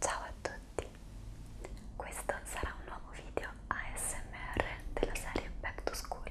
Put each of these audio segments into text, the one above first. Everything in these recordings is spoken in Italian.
Ciao a tutti, questo sarà un nuovo video ASMR della serie Back to School.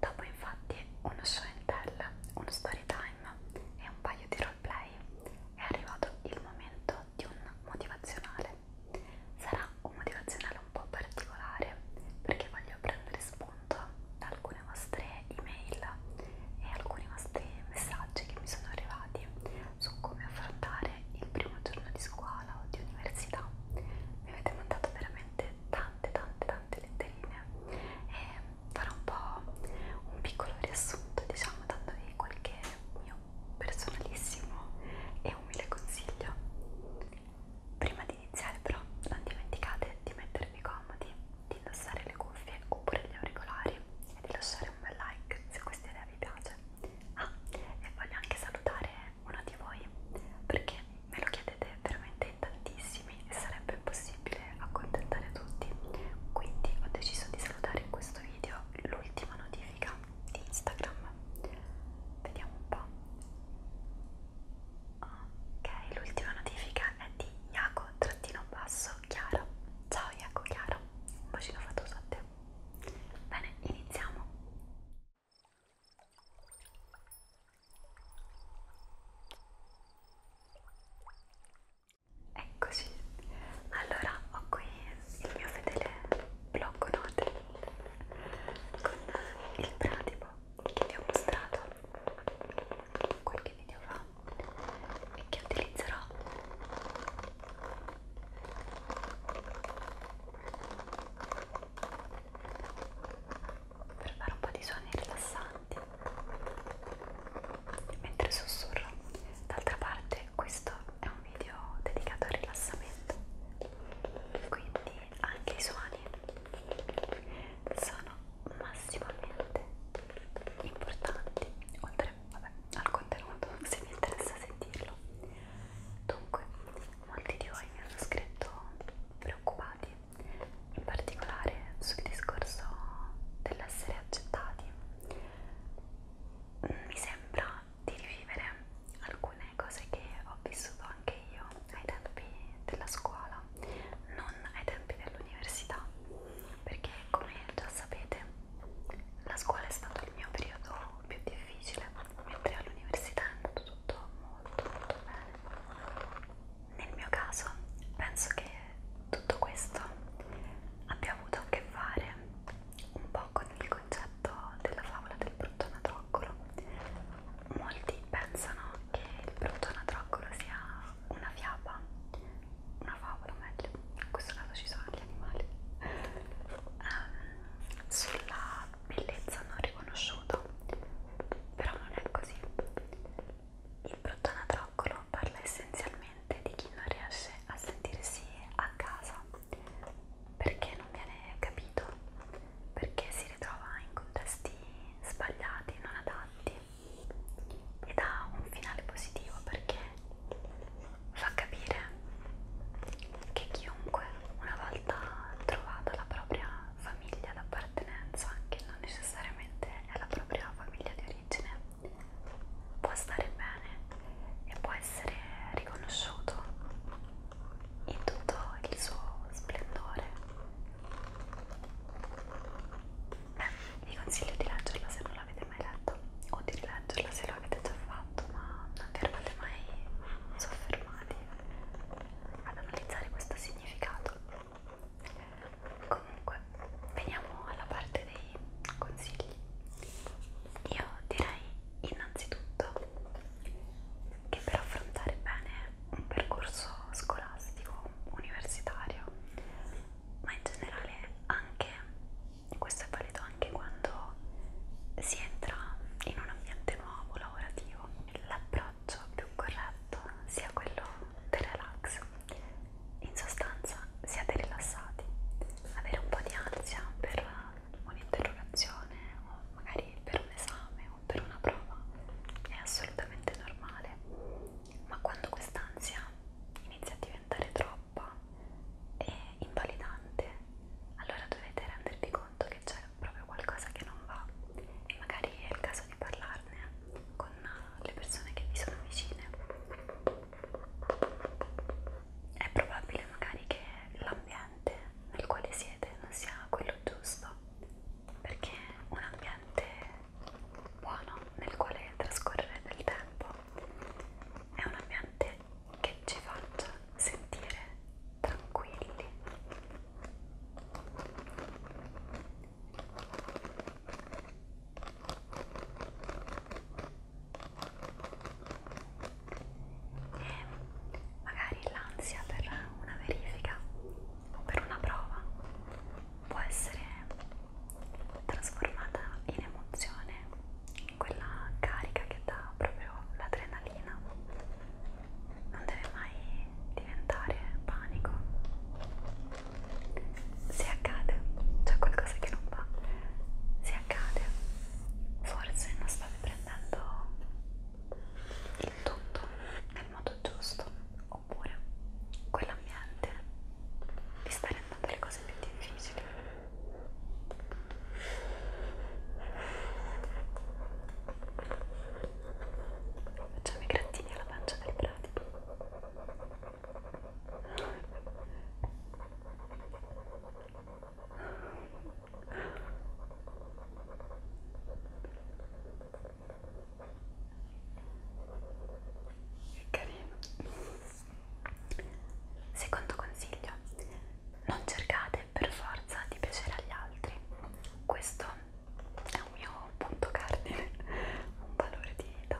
Dopo infatti uno show and tell, uno story time e un paio di roleplay è arrivato il momento di un motivazionale. Sarà un motivazionale un po' particolare perché voglio prendere spunto da alcune vostre vostre email e alcuni vostri messaggi che mi sono arrivati su come affrontare il primo giorno di scuola o di università. Mi avete mandato veramente tante tante tante letterine e farò un po' un piccolo riassunto diciamo dandovi qualche mio personalissimo e umile consiglio. Prima di iniziare però non dimenticate di mettervi comodi di indossare le cuffie oppure gli auricolari e di lasciare un bel like se questa idea vi piace. Ah, e voglio anche salutare uno di voi perché me lo chiedete veramente in tantissimi e sarebbe impossibile accontentare tutti. Quindi ho deciso di salutare in questo video l'ultima notifica di Instagram. Vediamo un po'. Ok, l'ultima notifica è di Iaco-Chiara. Ciao Iaco-Chiara, un bacino fatto a te. Bene, iniziamo. Eccoci. Allora, ho qui il mio fedele blocco note con il pratipo che vi ho mostrato qualche video fa userò e che utilizzerò per fare un po' di suoni rilassanti mentre sussurro d'altra parte questo è un video dedicato al rilassamento quindi anche i suoni sono massimo ambiente importanti oltre vabbè, al contenuto se vi interessa sentirlo dunque molti di voi mi hanno scritto preoccupati in particolare sul discorso dell'essere accettati mi sembra di rivivere alcune cose che ho vissuto anche io ai tempi della scuola scuola, non ai tempi dell'università, perché come già sapete la scuola è stato il mio periodo più difficile, mentre all'università è andato tutto molto molto bene. Nel mio caso penso che tutto questo abbia avuto a che fare un po' con il concetto della favola del brutto natroccolo. Molti pensano che il brutto natroccolo sia una fiaba, una favola meglio, in questo caso ci sono gli animali, um, sulla bellezza non riconosciuta, però non è così. Il brutto anatroccolo parla essenzialmente di chi non riesce a sentirsi a casa, perché non viene capito, perché si ritrova in contesti sbagliati, non adatti ed ha un finale positivo perché fa capire che chiunque una volta trovata la propria famiglia d'appartenenza, che non necessariamente è la propria famiglia di origine, può stare bene e può essere riconosciuto in tutto il suo splendore vi consiglio di leggerla se non l'avete mai letto o di rileggerla se l'avete già fatto ma non vi eravate mai soffermati ad analizzare questo significato comunque veniamo alla parte dei consigli io direi innanzitutto che per affrontare bene un percorso scolastico, universitario, ma in generale anche, questo è valido anche quando si entra in un ambiente nuovo, lavorativo, l'approccio più corretto sia quello del relax, in sostanza siate rilassati, avere un po' di ansia per un'interrogazione o magari per un esame o per una prova è assolutamente normale, ma quando quest'ansia inizia a diventare troppa e invalidante, allora dovete rendervi conto che c'è proprio qualcosa che non va e magari è il caso di parlarne con le persone che vi sono vicine. È probabile magari che l'ambiente nel quale siete non sia quello giusto perché un ambiente buono nel quale trascorrere del tempo è un ambiente che ci faccia sentire tranquilli. E magari l'ansia per una verifica o per una prova può essere trasformata in emozione, in quella carica che dà proprio l'adrenalina. Non deve mai diventare panico. Se accade, c'è cioè qualcosa che non va. Se accade, forse non state prendendo il tutto nel modo giusto oppure quell'ambiente vi sta rendendo le cose più difficili facciamo i grattini alla pancia del pratico Carino. Secondo consiglio, non cercate per forza di piacere agli altri. Questo è un mio punto cardine, un valore di vita.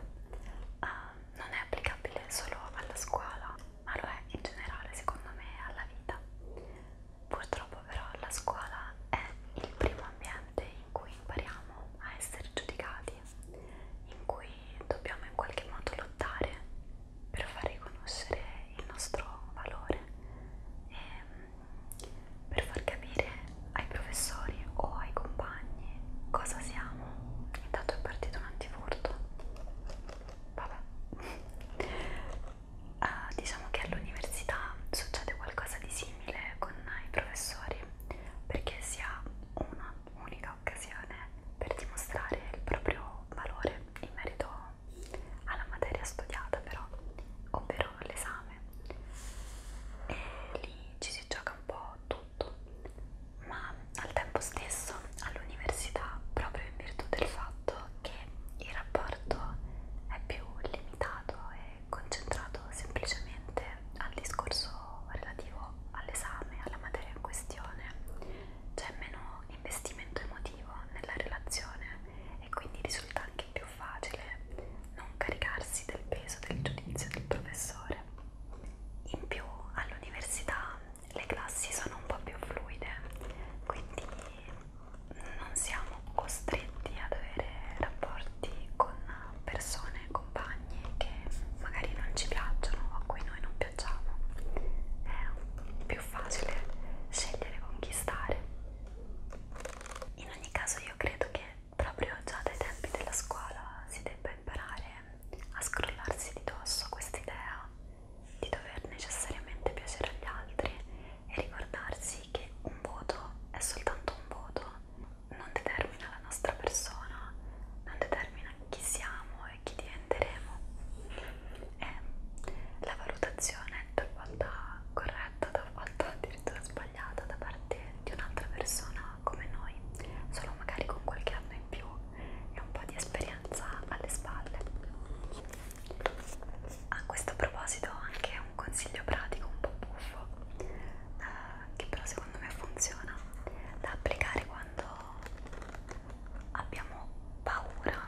Uh, non è applicabile solo alla scuola, ma lo è in generale, secondo me, alla vita. Purtroppo però la scuola è il primo ambiente in cui impariamo a essere giudicati, in cui dobbiamo in qualche modo lottare per far riconoscere il nostro valore e mm, per far capire ai professori o ai compagni cosa siamo. Intanto è partito un antifurto. Vabbè uh, diciamo che all'università succede qualcosa di simile con i professori perché si ha una unica occasione per dimostrare il proprio valore in merito alla materia studiata però, ovvero l'esame e lì ci si gioca un po' tutto ma al tempo stesso all'università proprio in virtù del fatto che il rapporto è più limitato e concentrato semplicemente al discorso relativo all'esame, alla materia in questione, c'è meno investimento emotivo nella relazione e quindi risulta anche più facile non caricarsi del peso del giudizio del professore. In più all'università le classi sono un po' più fluide, quindi non siamo costretti ad avere rapporti con persone, compagni che magari non ci piacciono o a cui noi non piacciamo. È più facile scegliere con chi stare. In ogni caso io credo che proprio già dai tempi della scuola si debba imparare a scrollarsi di dosso quest'idea di dover necessariamente piacere agli altri e ricordarsi che un voto è soltanto un voto, non determina la nostra persona, non determina chi siamo e chi diventeremo. E la valutazione talvolta corretta, talvolta addirittura sbagliata da parte di un'altra persona come noi, solo magari con qualche anno in più e un po' di esperienza alle spalle. A questo proposito ho anche un consiglio pratico un po' buffo, eh, che però secondo me funziona, da applicare quando abbiamo paura,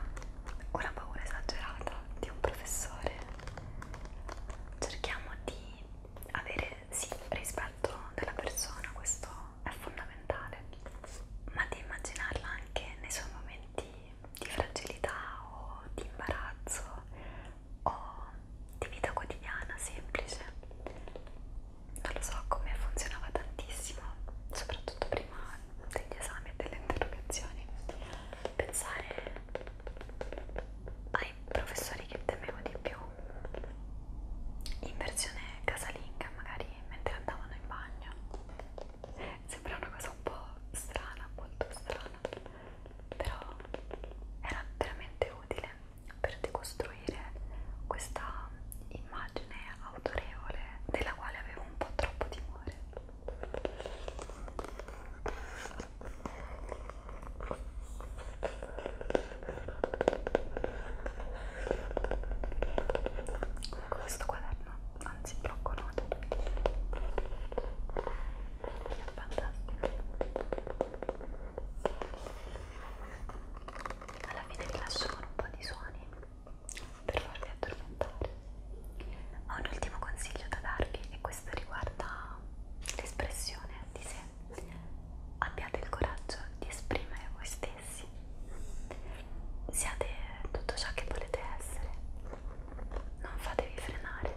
una paura esagerata di un professore. Cerchiamo di avere sì rispetto della persona, questo è fondamentale, ma di immaginarla anche nei suoi momenti di fragilità o di imbarazzo o di vita quotidiana semplice. Non lo so come funzionava tantissimo, soprattutto prima degli esami e delle interrogazioni, pensare ai professori che temevo di più in versione casalinga magari animali mentre andavano in bagno sembra una cosa un po' strana, molto strana però era veramente utile per decostruire questa immagine autorevole della quale avevo un po' troppo timore Comunque questo quaderno, anzi blocco note è fantastico alla fine vi lascio con un po' di suoni per farvi addormentare ho un ultimo consiglio da darvi e questo riguarda l'espressione di sé abbiate il coraggio di esprimere voi stessi stessi, siate tutto ciò che volete essere, non fatevi frenare.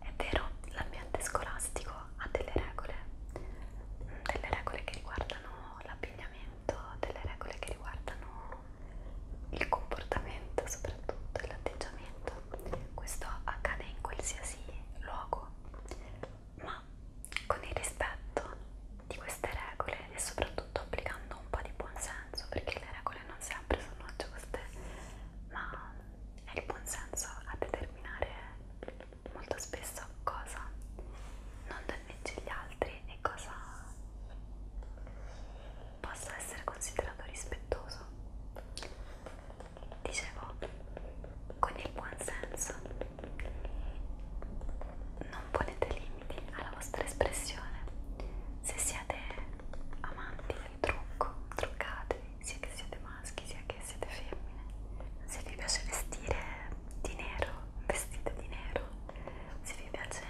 È vero, l'ambiente scolastico ha delle regole, mm, delle regole che riguardano l'abbigliamento, delle regole che riguardano il comportamento soprattutto e l'atteggiamento. Questo accade in qualsiasi luogo, ma con il rispetto di queste regole e soprattutto applicando un po' di buonsenso perché le regole non sempre sono giuste ma è il buonsenso a determinare molto spesso cosa non danneggia gli altri e cosa possa essere considerato rispettoso dicevo con il buon senso. Non ponete limiti alla vostra espressione. Se siete amanti del trucco, truccatevi, sia che siete maschi, sia che siete femmine. Se vi piace vestire di nero, vestite di nero. Se vi piace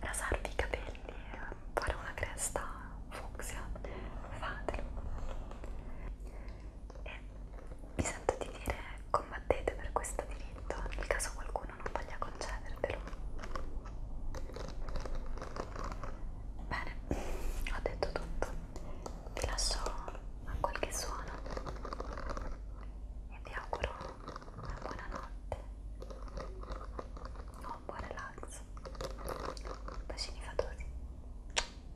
rasarvi i capelli e fare una cresta fucsia, fatelo e mi sento di dire combattete per questo diritto nel caso qualcuno non voglia concedervelo bene ho detto tutto vi lascio a qualche suono e vi auguro una buona notte o un buon relax bacini fatosi